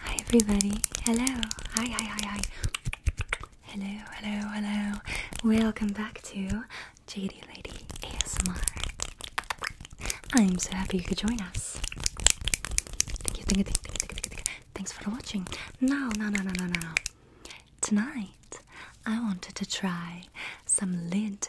Hi everybody. Hello. Hi, hi, hi, hi. Hello, hello, hello. Welcome back to JD Lady ASMR. I'm so happy you could join us. Thank you, thank you, thank you, thank you, thank you. Thanks for watching. No, no, no, no, no, no. Tonight, I wanted to try some lid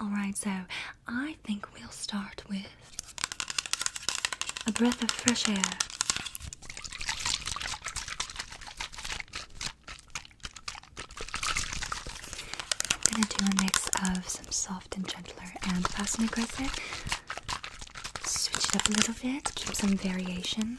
Alright, so I think we'll start with a breath of fresh air. I'm gonna do a mix of some soft and gentler and fast and aggressive. Switch it up a little bit, keep some variation.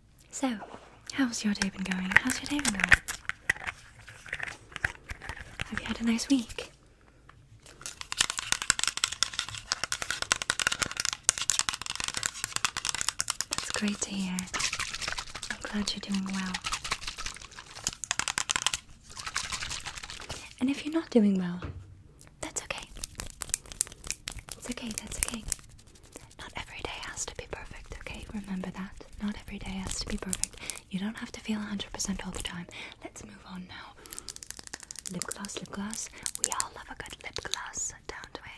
So, how's your day been going? How's your day been going? Have you had a nice week? That's great to hear. I'm glad you're doing well. And if you're not doing well, that's okay. It's okay, that's okay. Not every day has to be perfect, okay? Remember that. Not every day has to be perfect. You don't have to feel 100% all the time. Let's move on now. Lip gloss, lip gloss. We all love a good lip gloss, don't we?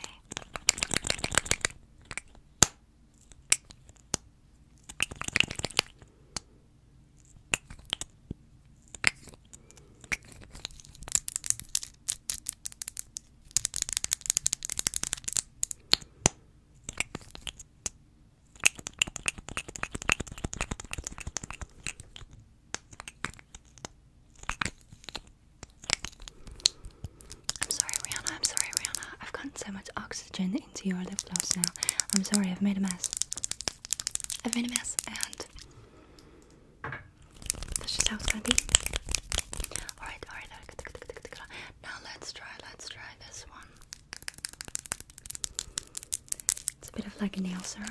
I'm sorry, Rihanna. I'm sorry, Rihanna. I've gotten so much oxygen into your lip gloss now. I'm sorry, I've made a mess. I've made a mess, and that's just how it's gonna be. Alright, alright, now let's try, let's try this one. It's a bit of like a nail serum.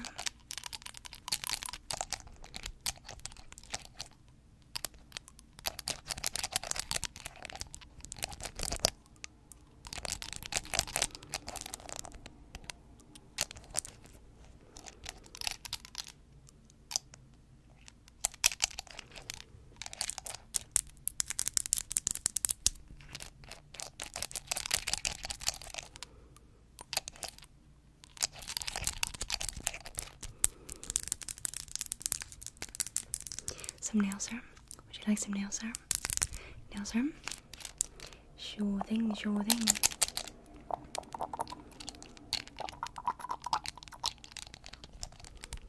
Some nail serum. Would you like some nail serum? Nail serum? Sure thing, sure thing.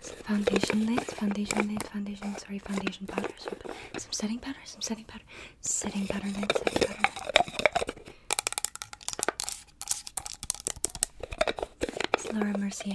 foundation lids, foundation lids, foundation, sorry, foundation powder, some, setting powder, some setting powder, setting powder lid, setting powder lid. It's Laura Mercier.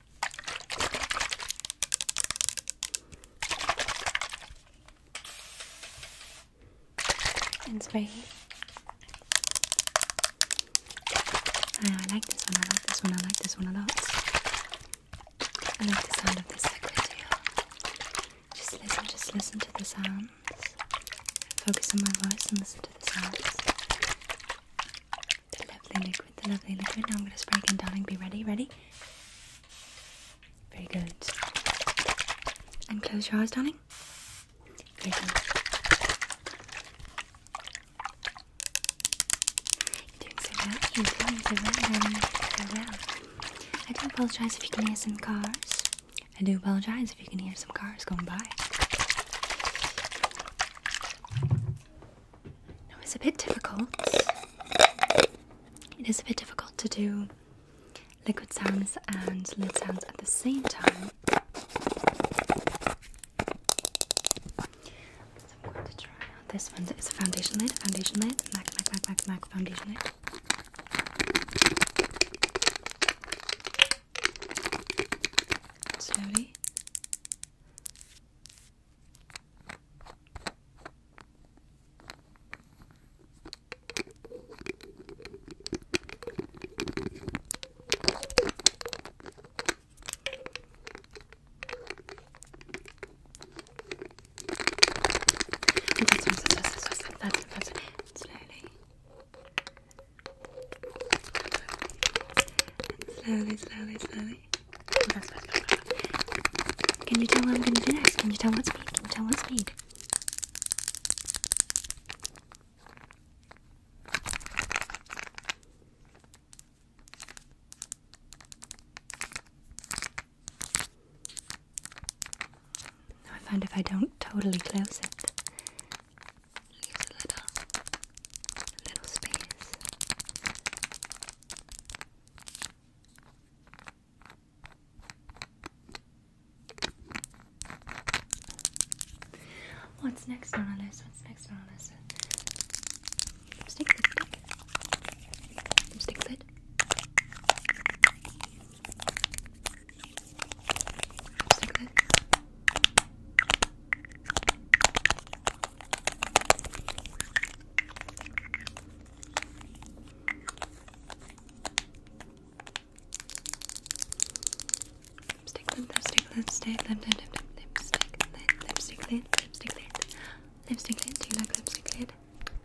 And oh, I like this one, I like this one, I like this one a lot. I like the sound of this liquid Just listen, just listen to the sounds. Focus on my voice and listen to the sounds. The lovely liquid, the lovely liquid. I'm going to spray again, darling. Be ready, ready? Very good. And close your eyes, darling. I do apologize if you can hear some cars. I do apologize if you can hear some cars going by. Now it's a bit difficult. It is a bit difficult to do liquid sounds and lid sounds at the same time. I'm going to try out this one. It's a foundation lid, foundation lid, MAC, MAC, MAC, MAC, MAC foundation lid. Slowly. That's that's it. Slowly. And slowly, slowly, slowly. Can you tell what I'm gonna do next? Can you tell what speed? Can you tell what speed? I found if I don't totally close it, leaves a little, little space. What's next on our list? What's next on our list? Lipstick, lipstick. Lipstick lid. Lipstick lid. Lipstick, lip, lipstick, lipstick, lip, lip, lip, lip, lipstick, lid, lipstick, lid, lipstick, lid, lipstick, lid. Do you like lipstick lid? No,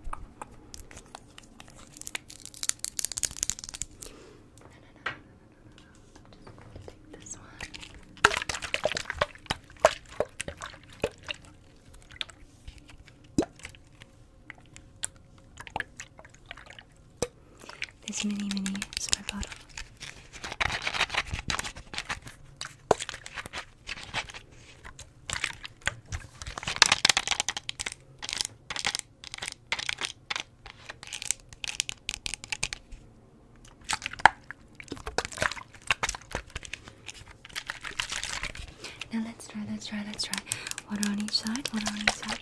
no, no, no, no, no, no. I'm just gonna take this one. This mini mini is my bottle. Now let's try, let's try, let's try. Water on each side, water on each side.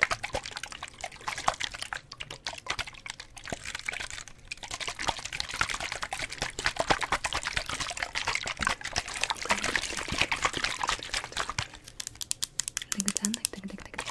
Like the like the like the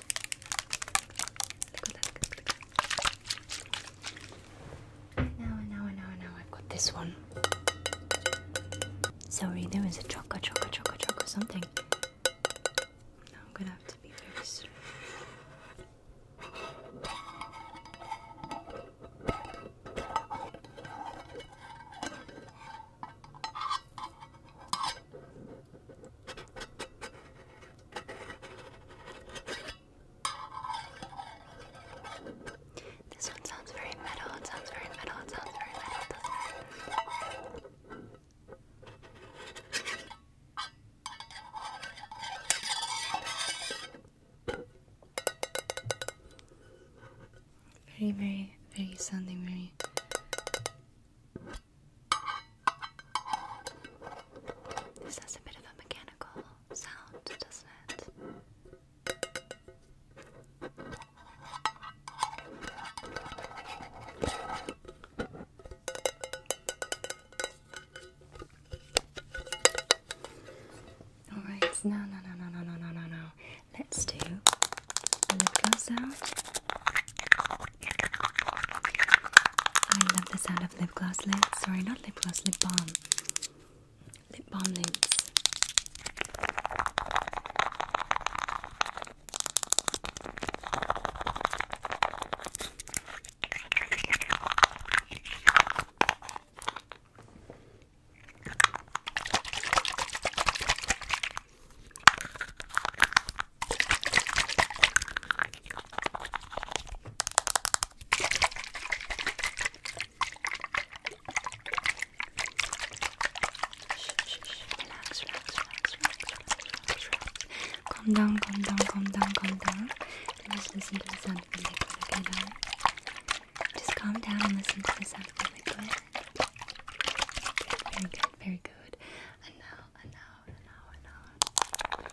Now, now, now, now, I've got this one. Sorry, there was a choco, choco, choco, choco something. Now I'm gonna have to be very this one sounds very metal, it sounds very metal, it sounds very metal, does Very, very, very sounding very this has a bit of a mechanical sound, doesn't it? All right, no, no, no, no, no, no, no, no, no. Let's do the lip gloss I love the sound of lip gloss lids. Sorry, not lip gloss, lip balm. Lip balm lips. Calm down, calm down, calm down, calm down. just listen to the sound Just calm down and listen to the sound of the liquid. Good, very good, very good. And now, and now, and now, and now.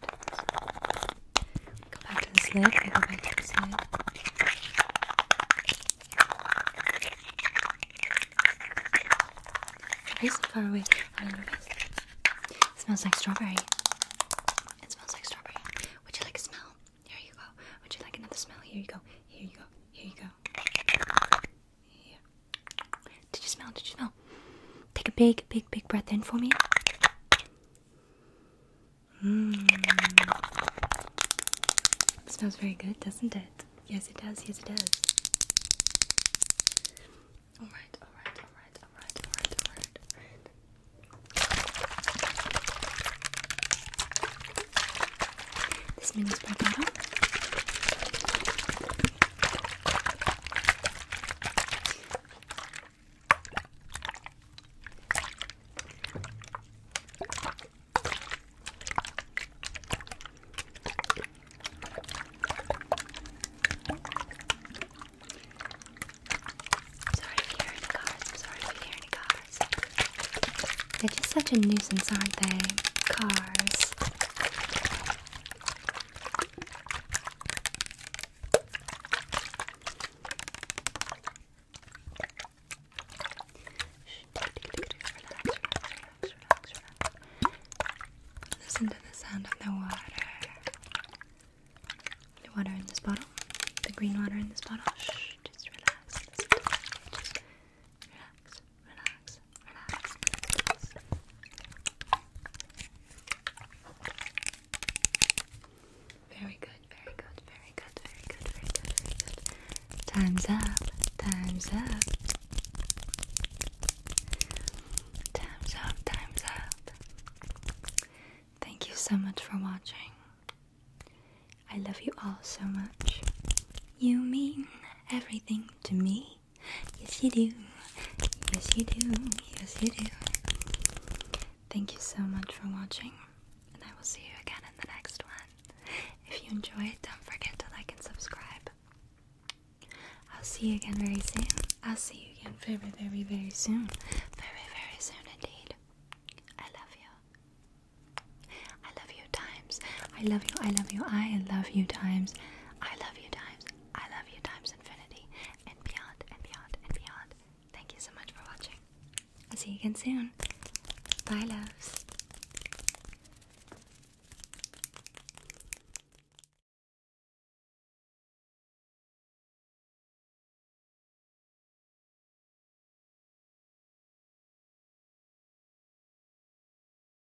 Go back to the slip. I go back to the slip. so far away? It smells like strawberry. It smells like strawberry. Would you like a smell? Here you go. Would you like another smell? Here you go. Here you go. Here you go. Yeah. Did you smell? Did you smell? Take a big, big, big breath in for me. Mmm. Smells very good, doesn't it? Yes, it does. Yes, it does. All right, all right, all right, all right, all right, all right, This mini spray bottle. Sorry if you hear cars. sorry if you hear cars. They're just such a nuisance, aren't they? Cars. Listen to the sound of the water. The water in this bottle. The green water in this bottle. Shh, just relax. Just relax relax, relax, Very good, very good, very good, very good, very good, very good. Time's up, time's up. Time's up, time's up. Thank you so much for watching. I love you all so much. You mean everything to me. Yes, you do. Yes, you do. Yes, you do. Thank you so much for watching, and I will see you again in the next one. If you enjoyed, don't forget to like and subscribe. I'll see you again very soon. I'll see you again very, very, very soon. Very, very soon indeed. I love you. I love you times. I love you. I love you. I love you times. I love you times, I love you times infinity, and beyond, and beyond, and beyond. Thank you so much for watching. I'll see you again soon. Bye, loves.